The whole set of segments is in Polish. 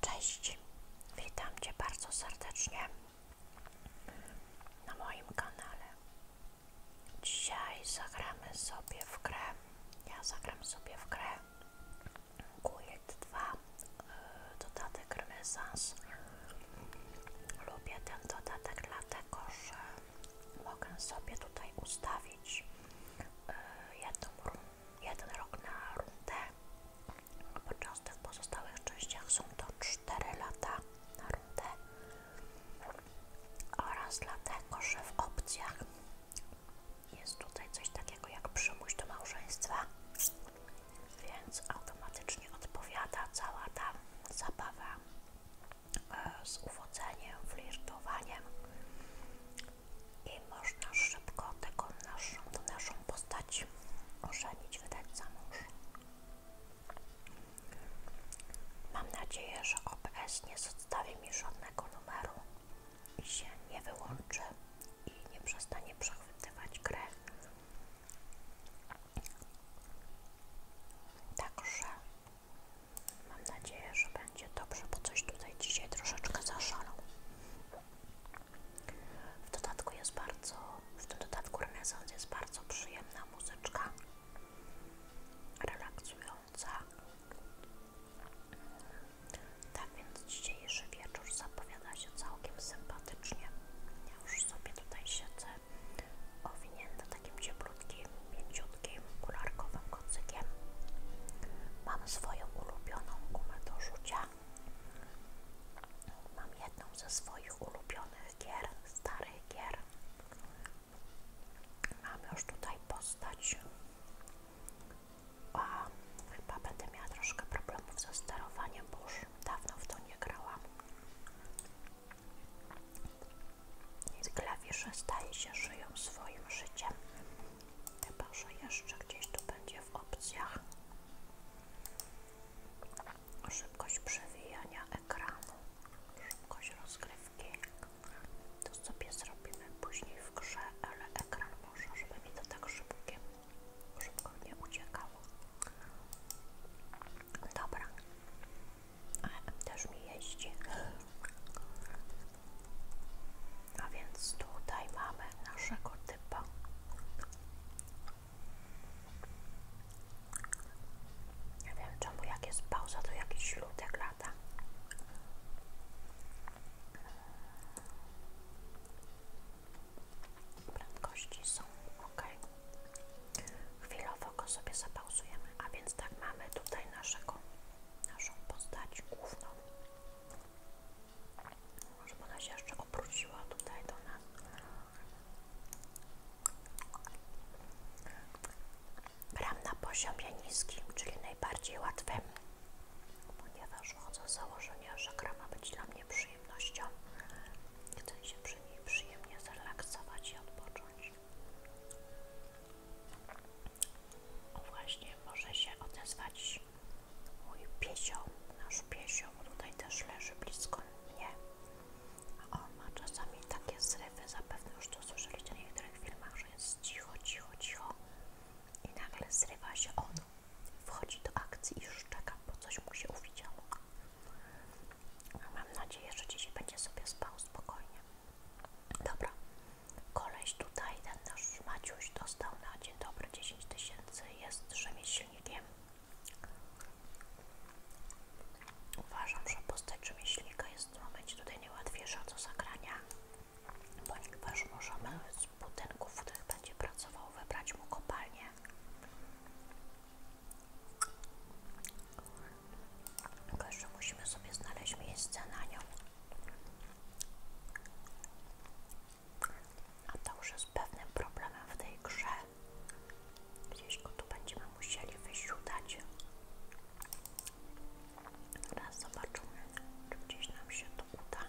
Cześć, witam Cię bardzo serdecznie na moim kanale. Dzisiaj zagramy sobie w grę. Ja zagram sobie w grę Kujek 2 dodatek Renesans. Lubię ten dodatek dlatego, że mogę sobie tutaj ustawić e, jeden rok na rundę, podczas w pozostałych częściach są to 4 lata na rundę oraz dlatego, że w opcjach jest tutaj coś takiego jak przymuś do małżeństwa, więc automatycznie odpowiada cała ta zabawa E, z uwodzeniem, flirtowaniem i można szybko tego naszą, naszą postać ożenić, wydać za mąż. Mam nadzieję, że OBS nie zostawi mi żadnego numeru i się nie wyłączy i nie przestanie przechwytywać gry. Także Mam nadzieję, że będzie dobrze, bo coś tutaj dzisiaj troszeczkę zaszalał. W dodatku jest bardzo, w tym dodatku renesans jest bardzo przyjemna muzyczka, relaksująca. Tak więc dzisiejszy wieczór zapowiada się całkiem sympatycznie. Ja już sobie tutaj siedzę owinięta takim cieplutkim, mięciutkim, kularkowym kocykiem. Mam swoją ulubioną gumę do rzucia. Mam jedną ze swoich ulubionych gier, starych gier. Mam już tutaj postać. A, chyba będę miała troszkę problemów ze sterowaniem, bo już dawno w to nie grałam. Klawisze staje się, żyją swoim życiem. Chyba, że jeszcze gdzieś to będzie w opcjach szybkość przewijania ekranu, szybkość rozgrywki. To sobie zrobimy później w grze, ale ekran może, żeby mi to tak szybkie, szybko nie uciekało. Dobra, też mi jeździ. A więc tutaj mamy naszego typa. Nie ja wiem czemu, jak jest pauza, to jakiś ludek lata. Prędkości są ok. Chwilowo go sobie zapauzujemy, a więc tak mamy tutaj naszego, naszą postać główną. Może ona się jeszcze obróciła tutaj do nas. Gram na poziomie niskim, czyli najbardziej łatwym, ponieważ chodzę z założenia, że gra ma być dla mnie przyjemnością. Chcę się przy niej przyjemnie zrelaksować i odpocząć. O właśnie, może się odezwać mój piesio, nasz piesio, bo tutaj też leży blisko mnie. A on ma czasami takie zrywy, zapewne już to słyszeliście w niektórych filmach, że jest cicho, cicho, cicho i nagle zrywa się on, wchodzi do akcji i szczeka, bo coś mu się uwidziało. Mam nadzieję, że dzisiaj będzie sobie spał spokojnie. Dobra, koleś tutaj, ten nasz Maciuś dostał na dzień dobry 10 tysięcy, jest rzemieślnikiem. Uważam, że postać rzemieślnika jest w momencie tutaj niełatwiejsza do zagrania, ponieważ możemy z budynków, w których będzie pracował, wybrać mu kopalnię. Tylko jeszcze musimy sobie znaleźć miejsce na nią. A to już jest pewnym problemem w tej grze. Gdzieś go tu będziemy musieli wysiudać. Teraz zobaczymy, czy gdzieś nam się to uda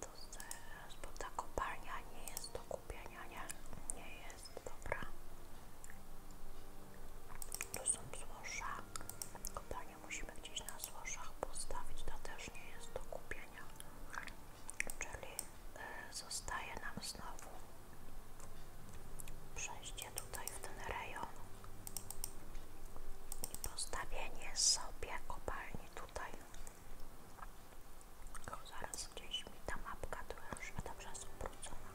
to zaraz, bo ta kopalnia nie jest do kupienia, nie? Nie jest, dobra. Tu są złoża. Kopalnię musimy gdzieś na złożach postawić, to też nie jest do kupienia. Czyli e, zostaje nam znowu przejście tutaj w ten rejon i postawienie sobie kopalni tutaj. O, zaraz gdzieś mi ta mapka tu już jest obrócona.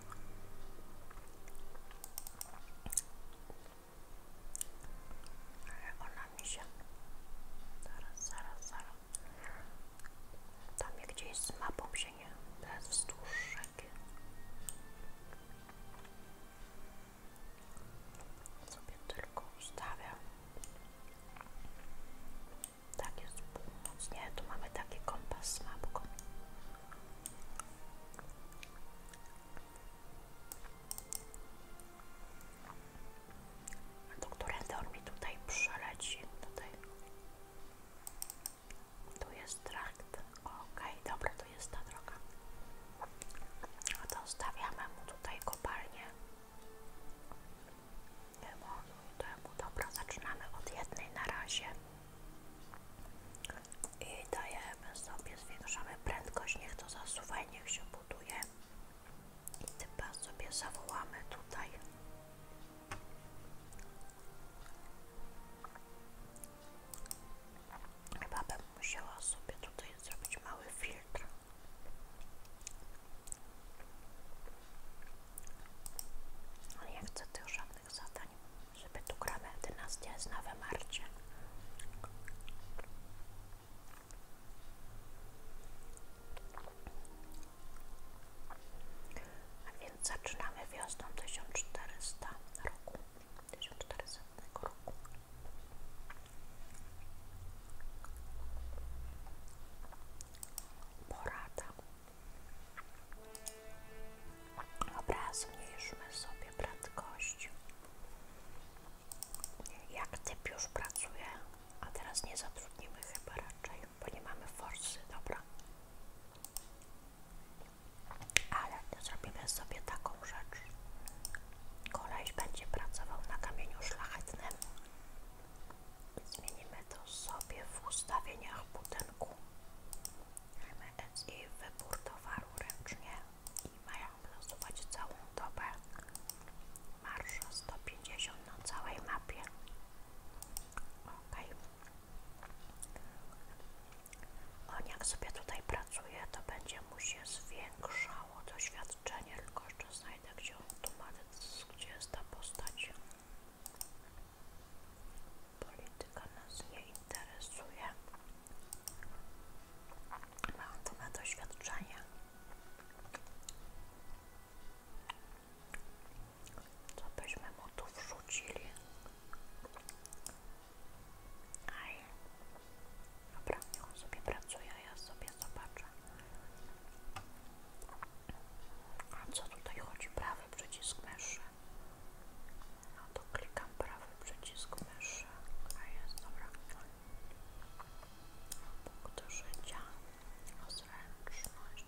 Ale ona mi się... Zaraz, zaraz, zaraz. Tam gdzieś z mapą się nie... To jest wzdłuż rzeki. Sobie tylko ustawiam. Tak jest północ. Nie, tu mamy taki kompas z mapką. A to którędy on mi tutaj przeleci? Tutaj. Tu jest trakt. Okej, okay, dobra, to jest ta droga. A to stawiamy mu tutaj kopalnię. Wymaluj temu. Dobra, zaczynamy od jednej na razie. I dajemy sobie, zwiększamy prędkość, niech to zasuwaj, niech się buduje. I typa sobie zawołamy tutaj. Chyba bym musiała sobie tutaj zrobić mały filtr. Nie chcę tych żadnych zadań, żeby tu gramy 11 jest na wymarcie. A więc zaczynamy wiosną 1400 roku, 1400 roku. Porada. Dobra, zmniejszmy sobie prędkość. Jak typ już pracuje, a teraz nie zatrudnimy chyba raczej, bo nie mamy forsy, dobra. Ale zrobimy sobie taką rzecz. Kolejś będzie pracował na kamieniu szlachetnym, Zmienimy to sobie w ustawieniach budynku. MSI wybór towaru ręcznie i mają losować całą dobę. Marsza 150 na całej mapie. Ok. On jak sobie tutaj pracuje, to będzie mu się zwiększało doświadczenie, tylko jeszcze znajdzie znajdę, gdzie ma, gdzie jest ta postać. Polityka nas nie interesuje. Mam tu na doświadczenie. Co byśmy mu tu wrzucili? Aj. Dobra, on sobie pracuje, ja sobie zobaczę. A co tutaj chodzi? Prawy przycisk myszy. No to klikam prawy przycisk myszy. A jest, dobra. Punkt życia. Zręczność.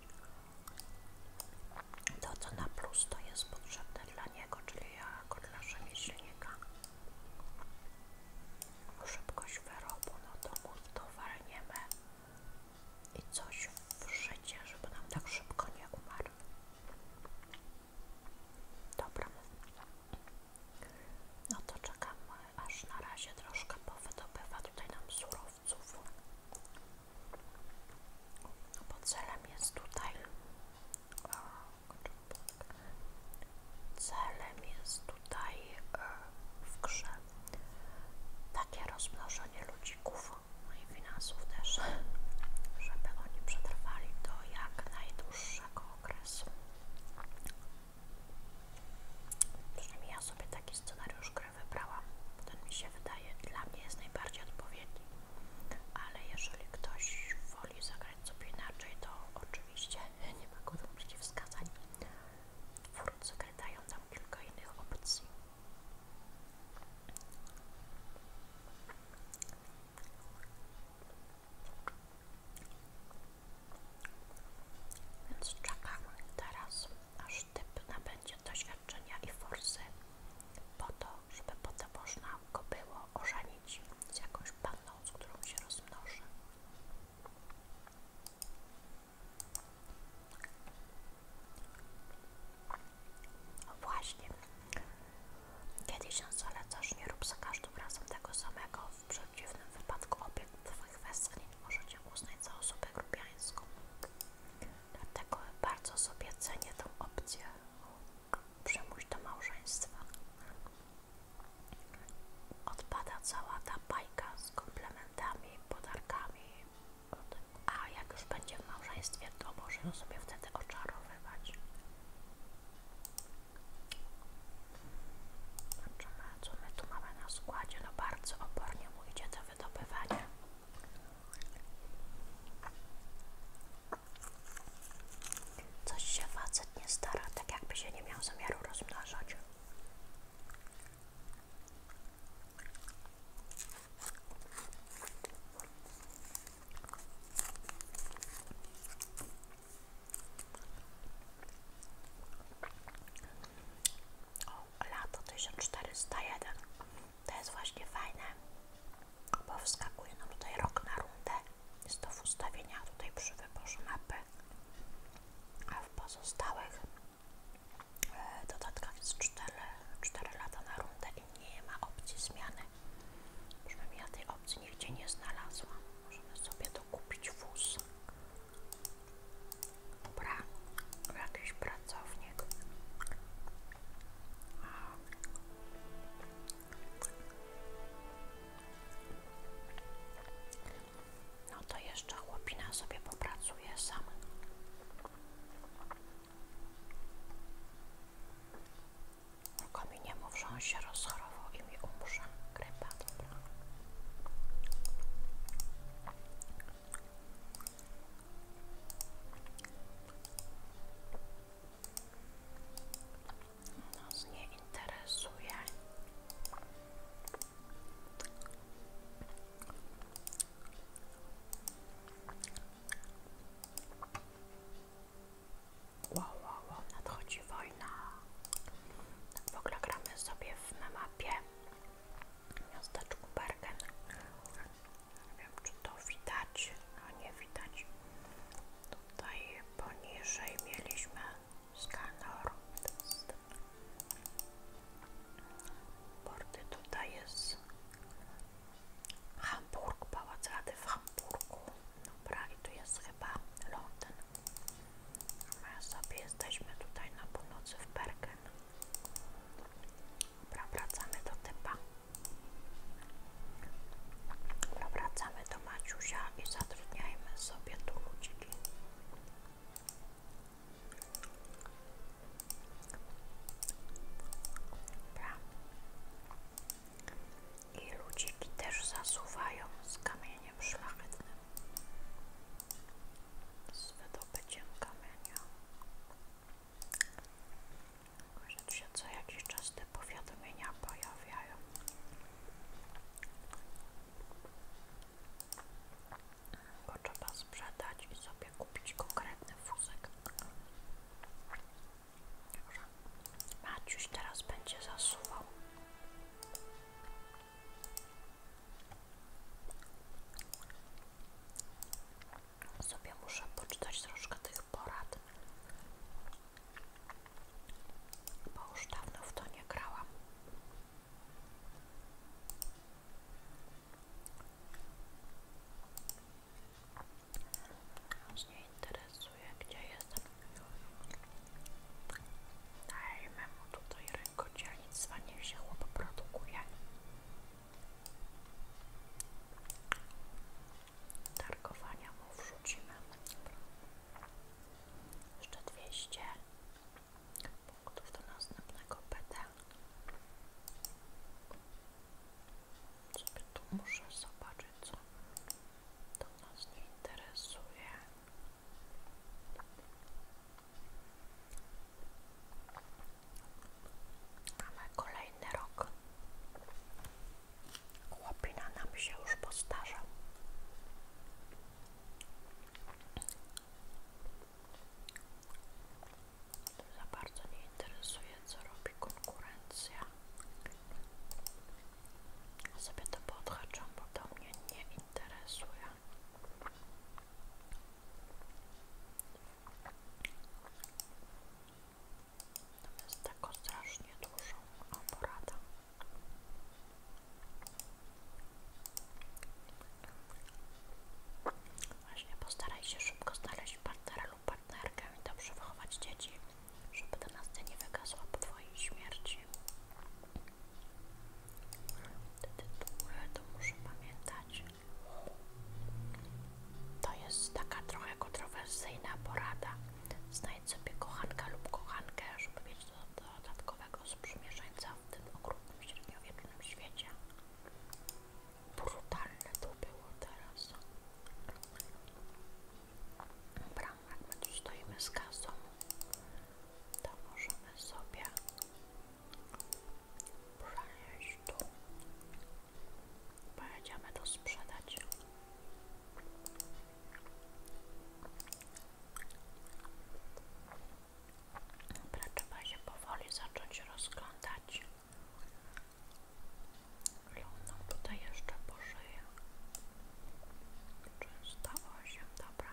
To co na plus to jest potrzebne dla niego, czyli jako dla rzemieślnika szybkość wyrobu, no to mów to walniemy i coś w życie, żeby nam tak szybko nie umarł. Dobra. No to czekamy, aż na razie troszkę powydobywa tutaj nam surowców. No bo celem jest tutaj... Tak. Celem jest tutaj i w grze. Takie rozmnożenie ludzików, no i finansów też, żeby oni przetrwali do jak najdłuższego okresu. Przynajmniej ja sobie taki scenariusz gry wybrałam. Ten mi się wydaje, dla mnie jest najbardziej odpowiedni. Ale jeżeli ktoś woli zagrać sobie inaczej, to oczywiście nie ma go do przeciwwskazań. Twórcy dają nam kilka innych opcji. Więc czekamy teraz, aż typ nabędzie doświadczenia i forsy po to, żeby potem można go było ożenić z jakąś panną, z którą się rozmnoży. No właśnie. Kiedyś ale coś nie rób za każdym razem tego samego. W przeciwnym wypadku obiekt Twoich westchnień możecie uznać za osobę grubiańską. Dlatego bardzo sobie cenię tę opcję. Przemój do małżeństwa odpada cała ta bajka z komplementami, podarkami. A jak już będzie w małżeństwie, to możemy sobie wtedy oczarowywać. Zobaczymy, co my tu mamy na składzie. No bardzo opornie mu idzie to wydobywanie. Coś się facet nie stara, tak jakby się nie miał zamiaru rozmnażać. O, lato 1401 to jest właśnie fajne, bo wskakujemy nam tutaj rok na rundę. Jest to w ustawieniach tutaj przy wyborze mapy a w pozostałych e, dodatkach jest 4, lata na rundę i nie ma opcji zmiany. Przynajmniej ja tej opcji nigdzie nie znalazłam. Możemy sobie to kupić wóz. Dobra, jakiś pracownik. No to jeszcze chłopina sobie popracuje sam. Tylko mi nie mów, że on się rozchorował i mi umrze. Grypa, dobra. Nas nie interesuje. Wow, wow, wow, nadchodzi wojna. W ogóle gramy sobie w mapie miasteczku Bergen. Nie wiem, czy to widać, a nie widać. Tutaj poniżej mieliśmy Skanor. Porty tutaj jest Hamburg, Pałac Rady w Hamburgu. Dobra, i tu jest chyba Londyn. My sobie jesteśmy tutaj na północy w Bergen. Dobra, wracamy do typa. Dobra, wracamy do Maciusia i zatrudniajmy sobie tu ludziki. I ludziki też zasuwają z kamieniem szlachetnym. Z wydobyciem kamienia. Że się co jakiś czas te powiadomienia pojawiają go trzeba sprzedać i sobie kupić konkretny wózek. Dobrze. Maciuś teraz będzie zasuwał. Sobie muszę poczytać troszkę tych porad, bo już dawno w to nie grałam. Aż mnie interesuje, gdzie jestem. Dajmy mu tutaj rękodzielnictwa, niech się chłop produkuje. Targowania mu wrzucimy. Dobra. Jeszcze 200 punktów do następnego PT. Sobie tu muszę zobaczyć, co to nas nie interesuje. kolejny rok. Chłopina nam się już postarza. Za bardzo nie interesuje, co robi konkurencja. Sobie to podhaczam, bo to mnie nie interesuje. jest tako strasznie dużo oporada. Właśnie postaraj się szybko znaleźć partnera lub partnerkę i dobrze wychować dzieci, żeby ta nastę nie wygasła po twojej śmierci. Te tytuły to muszę pamiętać. To jest taka trochę kontrowersyjna porada. Znajdź sobie kochanka lub kochankę, żeby mieć dodatkowego każdego sprzymierzeńca w tym okrutnym średniowiecznym świecie. Brutalne to było teraz. Dobra, jak my tu stoimy z kasą, to możemy sobie przenieść tu. Pojedziemy to sprzedać. Dobra, trzeba się powoli zacząć rozglądać. Luną tutaj jeszcze pożyję. Często osiem, dobra.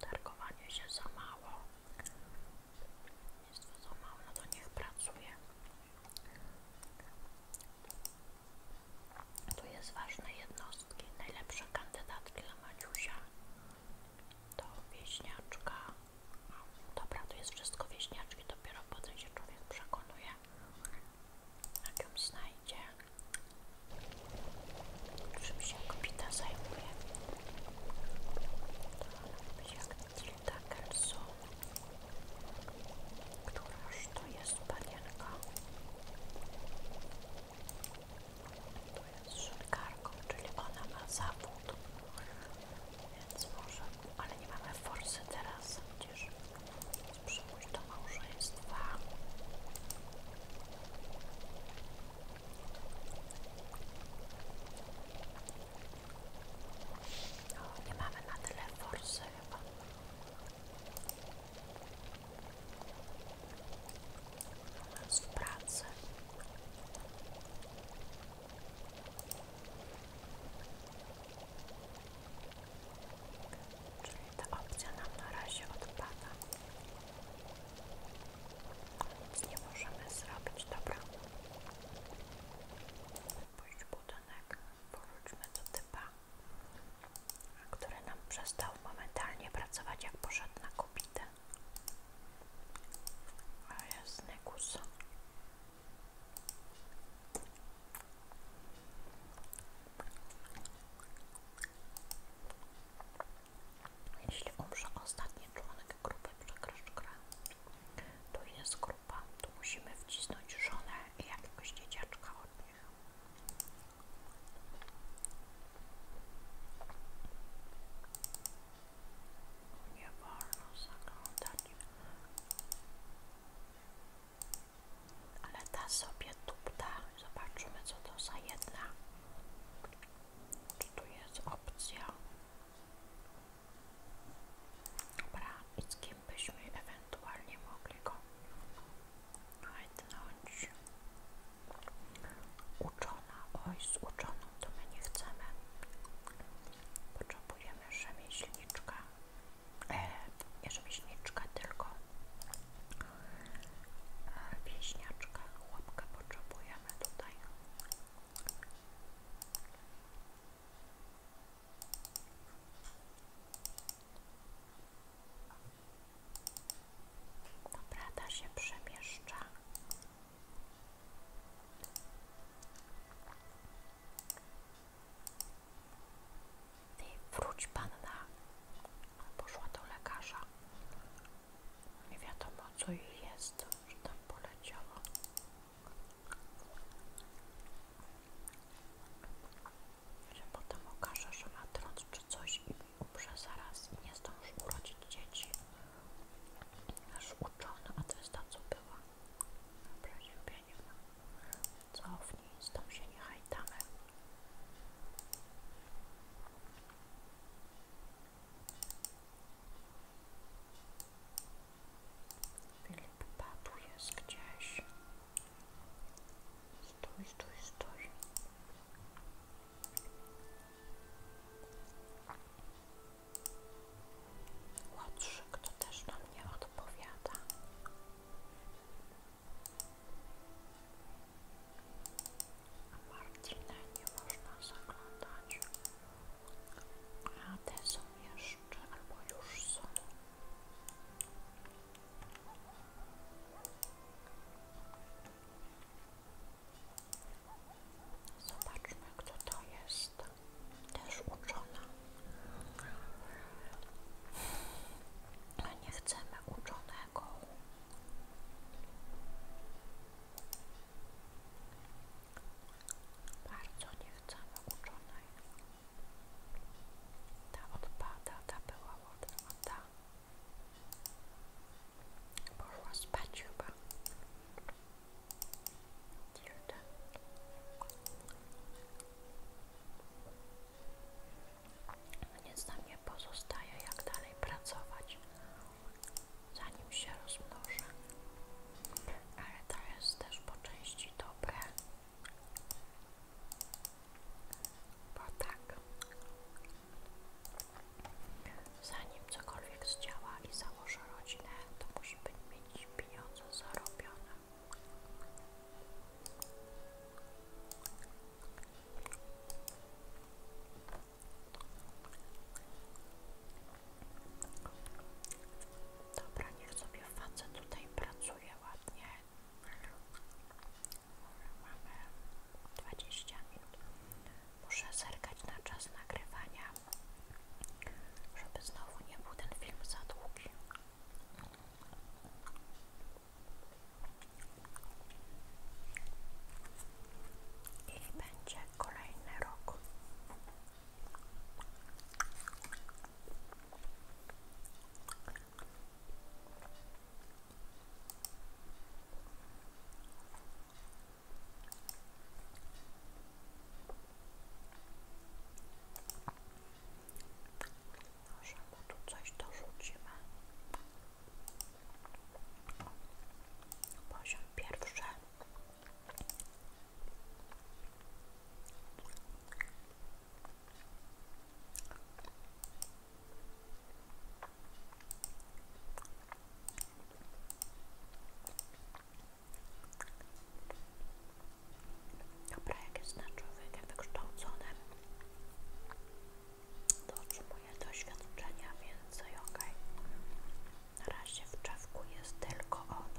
Targowanie się za mało. Jest to za mało, no to niech pracuje. Tu jest ważne jednostki. Najlepsza kandydatka dla Maciusia to wieśniaczka. No, dobra, to jest wszystko wieśniaczki, dopiero potem się człowiek przekonuje, jak ją znajdzie. Czym się kopita zajmuje? To ona być jak Frida Kelso. Któraż to jest panienka? To jest szynkarką, czyli ona ma zawód. Więc może, ale nie mamy forsy teraz, gdzież przyjść do małżeństwa. O, nie mamy na tyle forsy dobrze chyba. Z pracy. Czyli ta opcja nam na razie odpada. Nic nie możemy zrobić, dobra. Pójść budynek. Powróćmy do typa, który nam przestał momentalnie pracować, jak poszedł na kopitę. Ale jest negus. Jeśli umrze ostatni członek grupy, przegrasz grę. Tu jest grupa, tu musimy wcisnąć żonę i jakiegoś dzieciaczka od nich. Nie wolno zaglądać. Ale ta sobie tupta. Zobaczymy, co to za jedna. Czy tu jest opcja? Dobra, i z kim byśmy ewentualnie mogli go najdnąć? Uczona, oj z uczoną to my nie chcemy. Potrzebujemy rzemieślniczka, e, nie rzemieślniczka, tylko wieśniaczka, chłopka potrzebujemy tutaj. Dobra, ta się przemieszcza. Ty wróć panna. Poszła do lekarza. Nie wiadomo co jej jest, że tam poleciało. Że potem okaże, że ma trąd czy coś i umrze zaraz i nie zdąży urodzić dzieci. Aż uczony, a to jest ta, co była. Dobra, ziębienie ma. Cofnij, z tą się nie hajtamy. Filip tu jest gdzieś. Stój, stój, stój. Łotrzyk to też na mnie odpowiada. A nie można zaglądać. A te są albo już są. Zobaczmy, kto to jest. Też uczona. Nie chcemy uczonego. Bardzo nie chcemy uczonej. Ta odpada, ta była ładna, a ta poszła spać chyba. Dziwne. Nic nam nie pozostaje, jak dalej pracować, zanim się rozmnożę. Ale to jest też po części dobre, bo tak, zanim cokolwiek zdziała i założy rodzinę, to musi być mieć pieniądze zarobione. Dobra, niech sobie facet tutaj pracuje ładnie. Mamy 20 minut. Muszę zerkać na czas nagrywania, żeby znowu nie był ten film za długi. I będzie kolejny rok. Może mu tu coś Poziom pierwszy. To jak jest na człowieka wykształconym, to otrzymuje doświadczenia więcej, ok. Na razie w czewku jest tylko ono.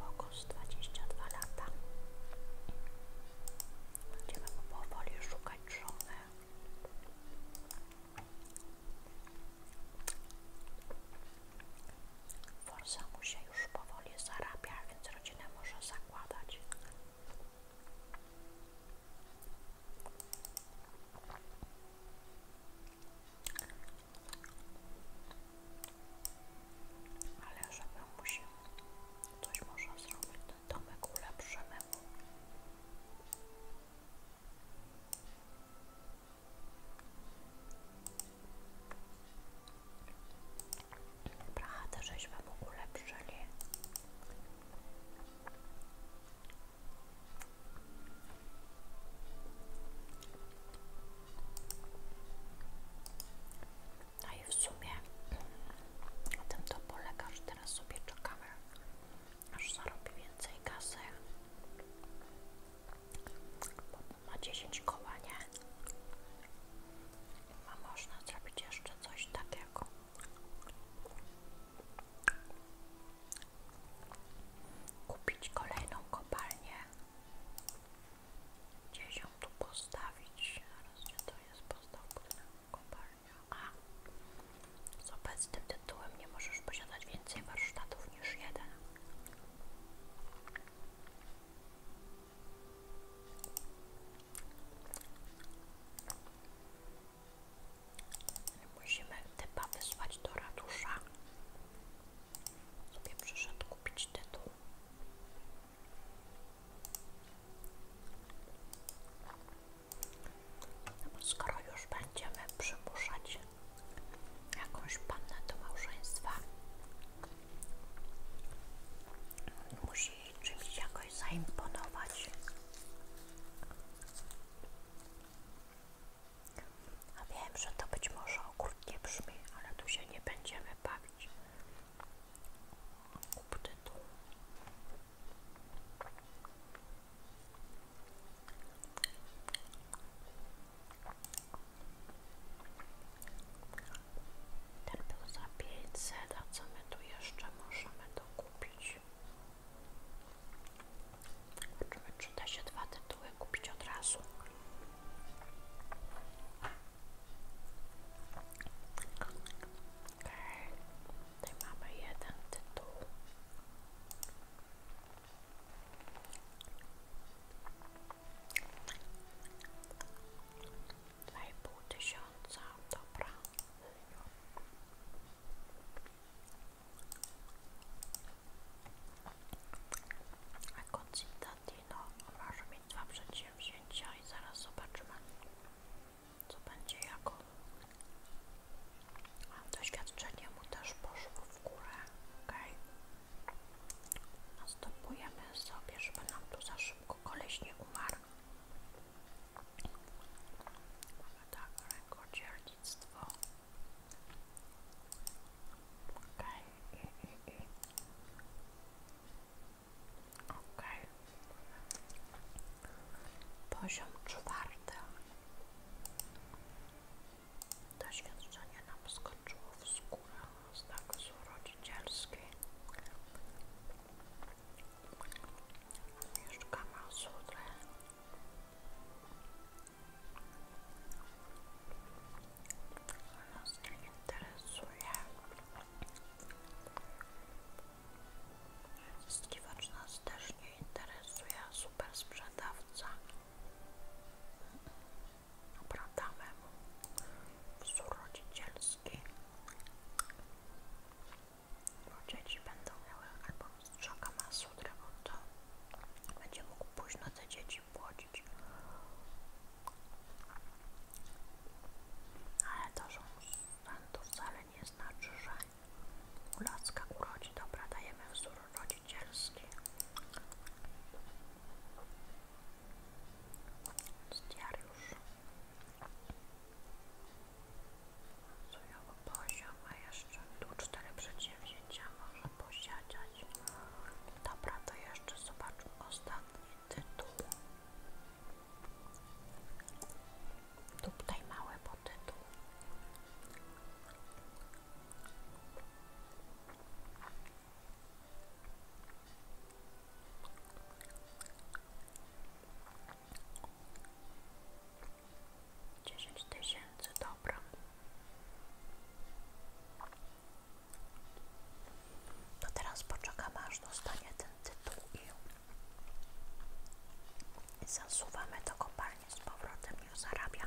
Łogosz 22 lata. Będziemy powoli szukać żony. Forza mu się już powoli zarabia, więc rodzinę może zakładać. Ale żeby mu się coś można zrobić, ten domek ulepszymy mu. Dobra, to ulepszyli. No i w sumie na tym to polega, że teraz sobie czekamy, aż zarobi więcej kasy. Bo ma 10 koła, nie? A można zrobić jeszcze coś takiego. Kupić kolejną kopalnię Gdzieś ją tu postawić. Zaraz, gdzie to jest? Postaw budynek kopalnia. A, z obecnym tytułem nie możesz posiadać więcej warsztatów niż jeden. Musimy typa wysłać do ratusza sobie przyszedł kupić tytuł. No skoro już będziemy przymuszać jakąś pannę do małżeństwa, musi czymś jakoś zaimponować. A wiem, że to być może okrutnie brzmi, ale tu się nie będziemy bawić. Kup tu. Ten był za 500, a co my tu jeszcze możemy dokupić? Zobaczymy, czy da się dwa tytuły kupić od razu. Okej, okay. tutaj Dwa i pół a Concitatino może mieć dwa przedsięwzięcia i zaraz zobaczymy, co będzie jako. Doświadczenie mu też poszło w górę, ok? Następujemy sobie, żeby nam tu za szybko koleś nie umarł. Mamy tak, rękodzielnik dzieciństwo. Okej. Okay. Okej. Poziom czwarty. Doświadczenie nam skoczyło w skórę z nakazu rodzicielskiej. Mieszkamy nas nie interesuje. Zyskiwacz nas też nie interesuje, super sprzedawca. Obradamy mu wzór rodzicielski, bo dzieci będą miały albo strzałka masła, bo to będzie mógł pójść na te dzieci chłodzić, Ale to, że to wcale nie znaczy, że Kulacka urodzi. Dobra, dajemy wzór rodzicielski. Diariusz. Sujowo poziom, a jeszcze jeszcze tu cztery przedsięwzięcia może posiadać. Dobra, to jeszcze zobaczmy ostatni tytuł. Tu tutaj mały podtytuł. Dziesięć tysięcy to teraz poczekam aż dostanie ten tytuł i zasuwamy do kopalni z powrotem, niech zarabia.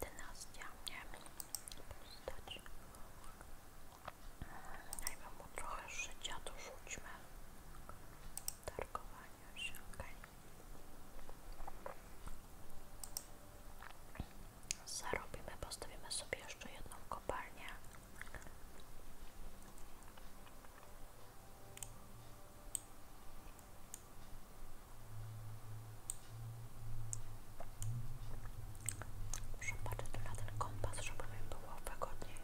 Dynastia, nie postać. trochę życia, dorzućmy się, zarobimy, postawimy sobie jeszcze jedną kopalnię. Muszę patrzeć na kompas, żeby mi było wygodniej.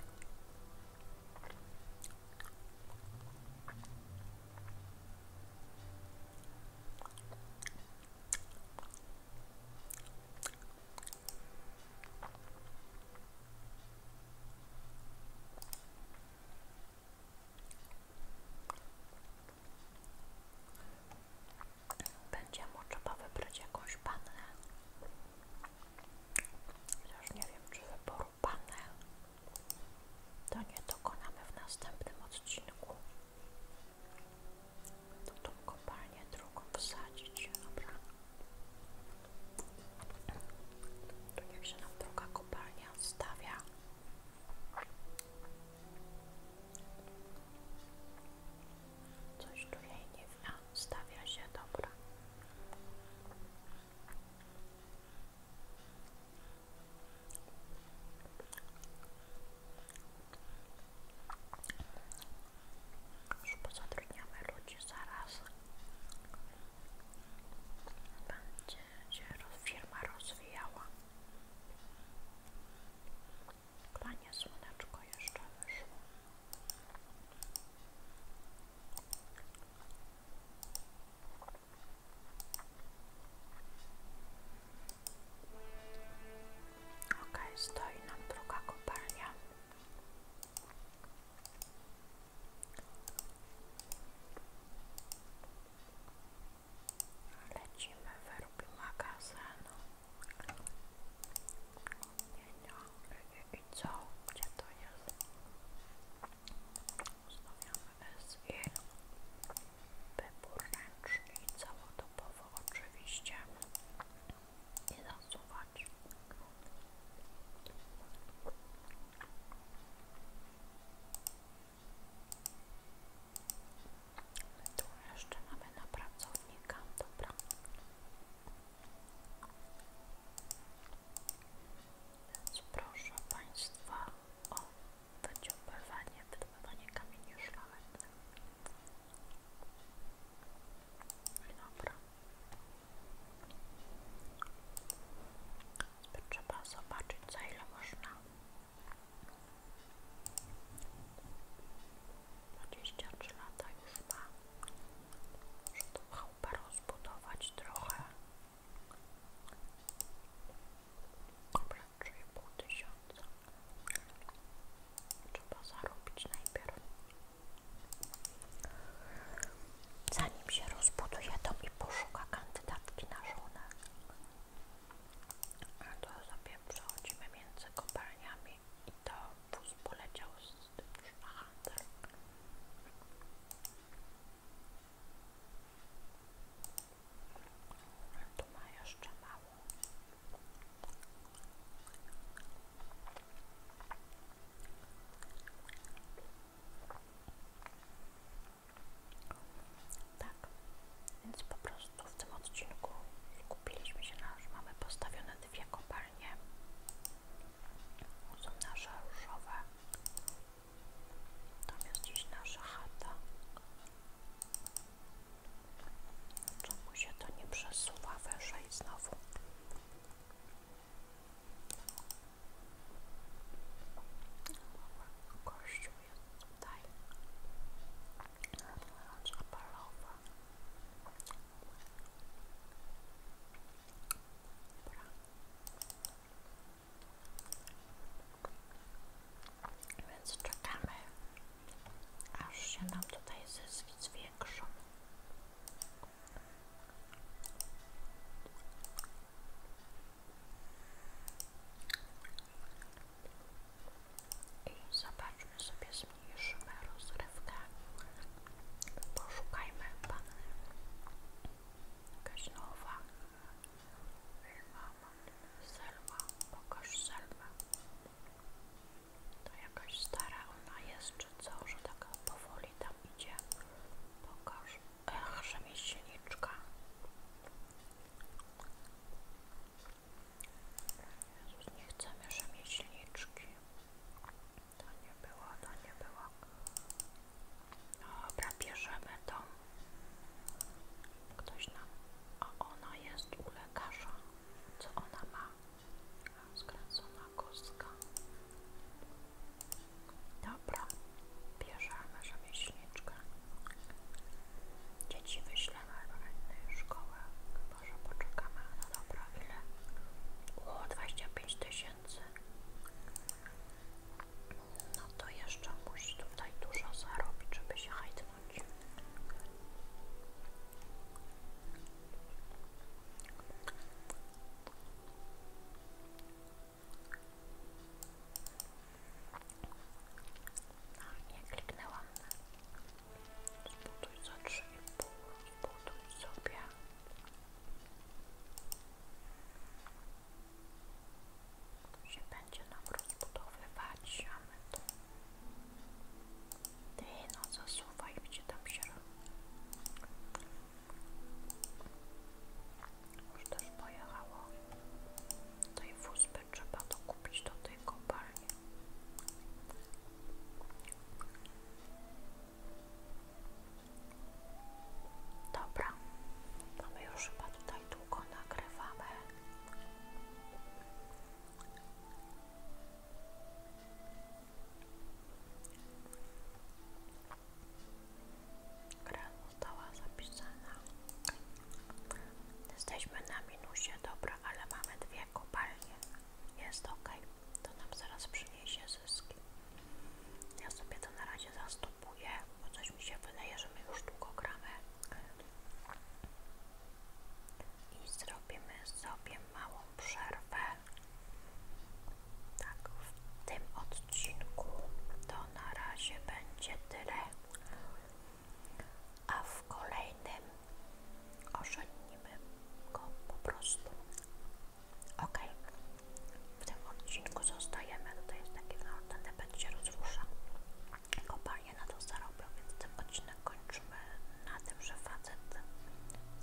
Będzie mu trzeba wybrać jakąś pannę. Chociaż nie wiem, czy wyboru pannę to nie dokonamy w następnym odcinku to tą kopalnię drugą wsadzić, dobra. Tu niech się nam druga kopalnia stawia. Coś tu nie wiem, stawia się, dobra. Już pozatrudniamy ludzi zaraz. Będzie firma rozwijała. Panie słoneczko jeszcze Ok, stoi nam druga kopalnia. Lecimy, wyrobi magazyn. Nie, nie, i co? Gdzie to jest? Ustawiamy SI wybór ręczny i całodobowo oczywiście i zasuwać. My jeszcze mamy na pracownika, dobra. Więc proszę Państwa będzie wydobywanie kamieni szlachetnych. Dobra. Trzeba zobaczyć za ile można. 23 lata już ma. Muszę tą chałupę rozbudować trochę. Dobra, 3,5 tysiąca trzeba zarobić najpierw zanim się rozbuduje to mi poszuka kandydatki na żonę a to sobie przechodzimy między kopalniami i to wóz poleciał z tym już tu ma jeszcze mało. Tak, więc po prostu w tym odcinku skupiliśmy się na, że mamy postawione dwie kopalnie. Są nasze różowe. Tam jest dziś nasza chata. Czemu się to nie przesuwa wyżej znowu? Kościół jest tutaj. Zapalowa. Dobra. Więc czekamy aż się nam tutaj zyski zwiększą. I zobaczmy sobie, zmniejszymy rozrywkę. Poszukajmy panny. Jakaś nowa. Selma, pokaż Selmę. To jakaś stara ona jest, czy co, że taka powoli tam idzie. Pokaż. Ech, rzemieślniczka. Jezus, nie chcemy rzemieślniczki. To nie było, to nie było. Dobra, bierzemy to. Ktoś nam. A ona jest u lekarza. Co ona ma? Skręcona kostka. Dobra, bierzemy rzemieślniczkę. Dzieci wyślemy do szkoły. Chyba, że poczekamy. No dobra, ile? O, 25 tysięcy. No to jeszcze musi tutaj dużo zarobić, żeby się hajdnąć much. No nie kliknęłam. Zbuduj za trzy i pół, zbuduj sobie się będzie nam rozbudowywać, a my tu... Ty no zasuwaj, gdzie tam się już też pojechało. Tej wózby trzeba dokupić do tej kopalni. Dobra, to my już chyba tutaj długo nagrywamy. Gra została zapisana. Jesteśmy na minusie, dobra, ale mamy dwie kopalnie. Jest ok, to nam zaraz przyniesie zyski. Ja sobie to na razie zastopuję, bo coś mi się wydaje, że my już długo gramy i zrobimy sobie małą przerwę. Tak, w tym odcinku to na razie będzie tyle, a w kolejnym ożenimy go po prostu. Ok, w tym odcinku zostajemy. Tutaj jest taki, no, ten będzie rozrusza kopalnie na to zarobią, więc ten odcinek kończymy na tym, że facet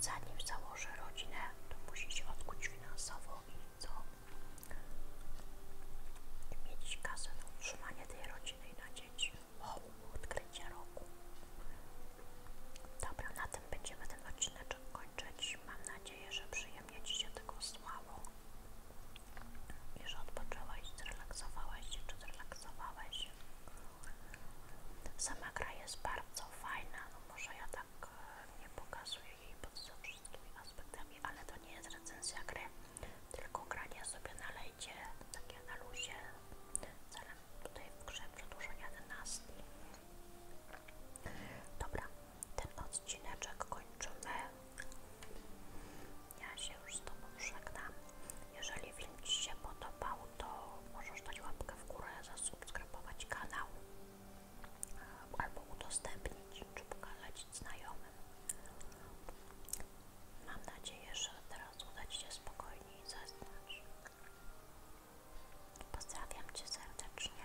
zanim założę rodzinę, to musi się odkuć finansowo i I mieć kasę na utrzymanie tej rodziny i na dzieci. O, odkrycie roku. Dobra, na tym będziemy ten odcinek kończyć. Mam nadzieję, że przyjemnie Ci się tego słało. Już odpoczęłaś, zrelaksowałaś się czy zrelaksowałeś Sama gra jest bardzo fajna, no może ja tak e, nie pokazuję jej pod wszystkimi aspektami, ale to nie jest recenzja gry, tylko granie sobie na lejcie, takie na luzie, celem tutaj w grze przedłużenia dynastii. Dobra, ten odcineczek kończymy. Ja się już z Tobą żegnam. Jeżeli film Ci się podobał, to możesz dać łapkę w górę, zasubskrybować kanał albo udostępnić, czy pokazać znajomym. Mam nadzieję, że teraz uda Ci się spokojniej zasnąć. Pozdrawiam Cię serdecznie.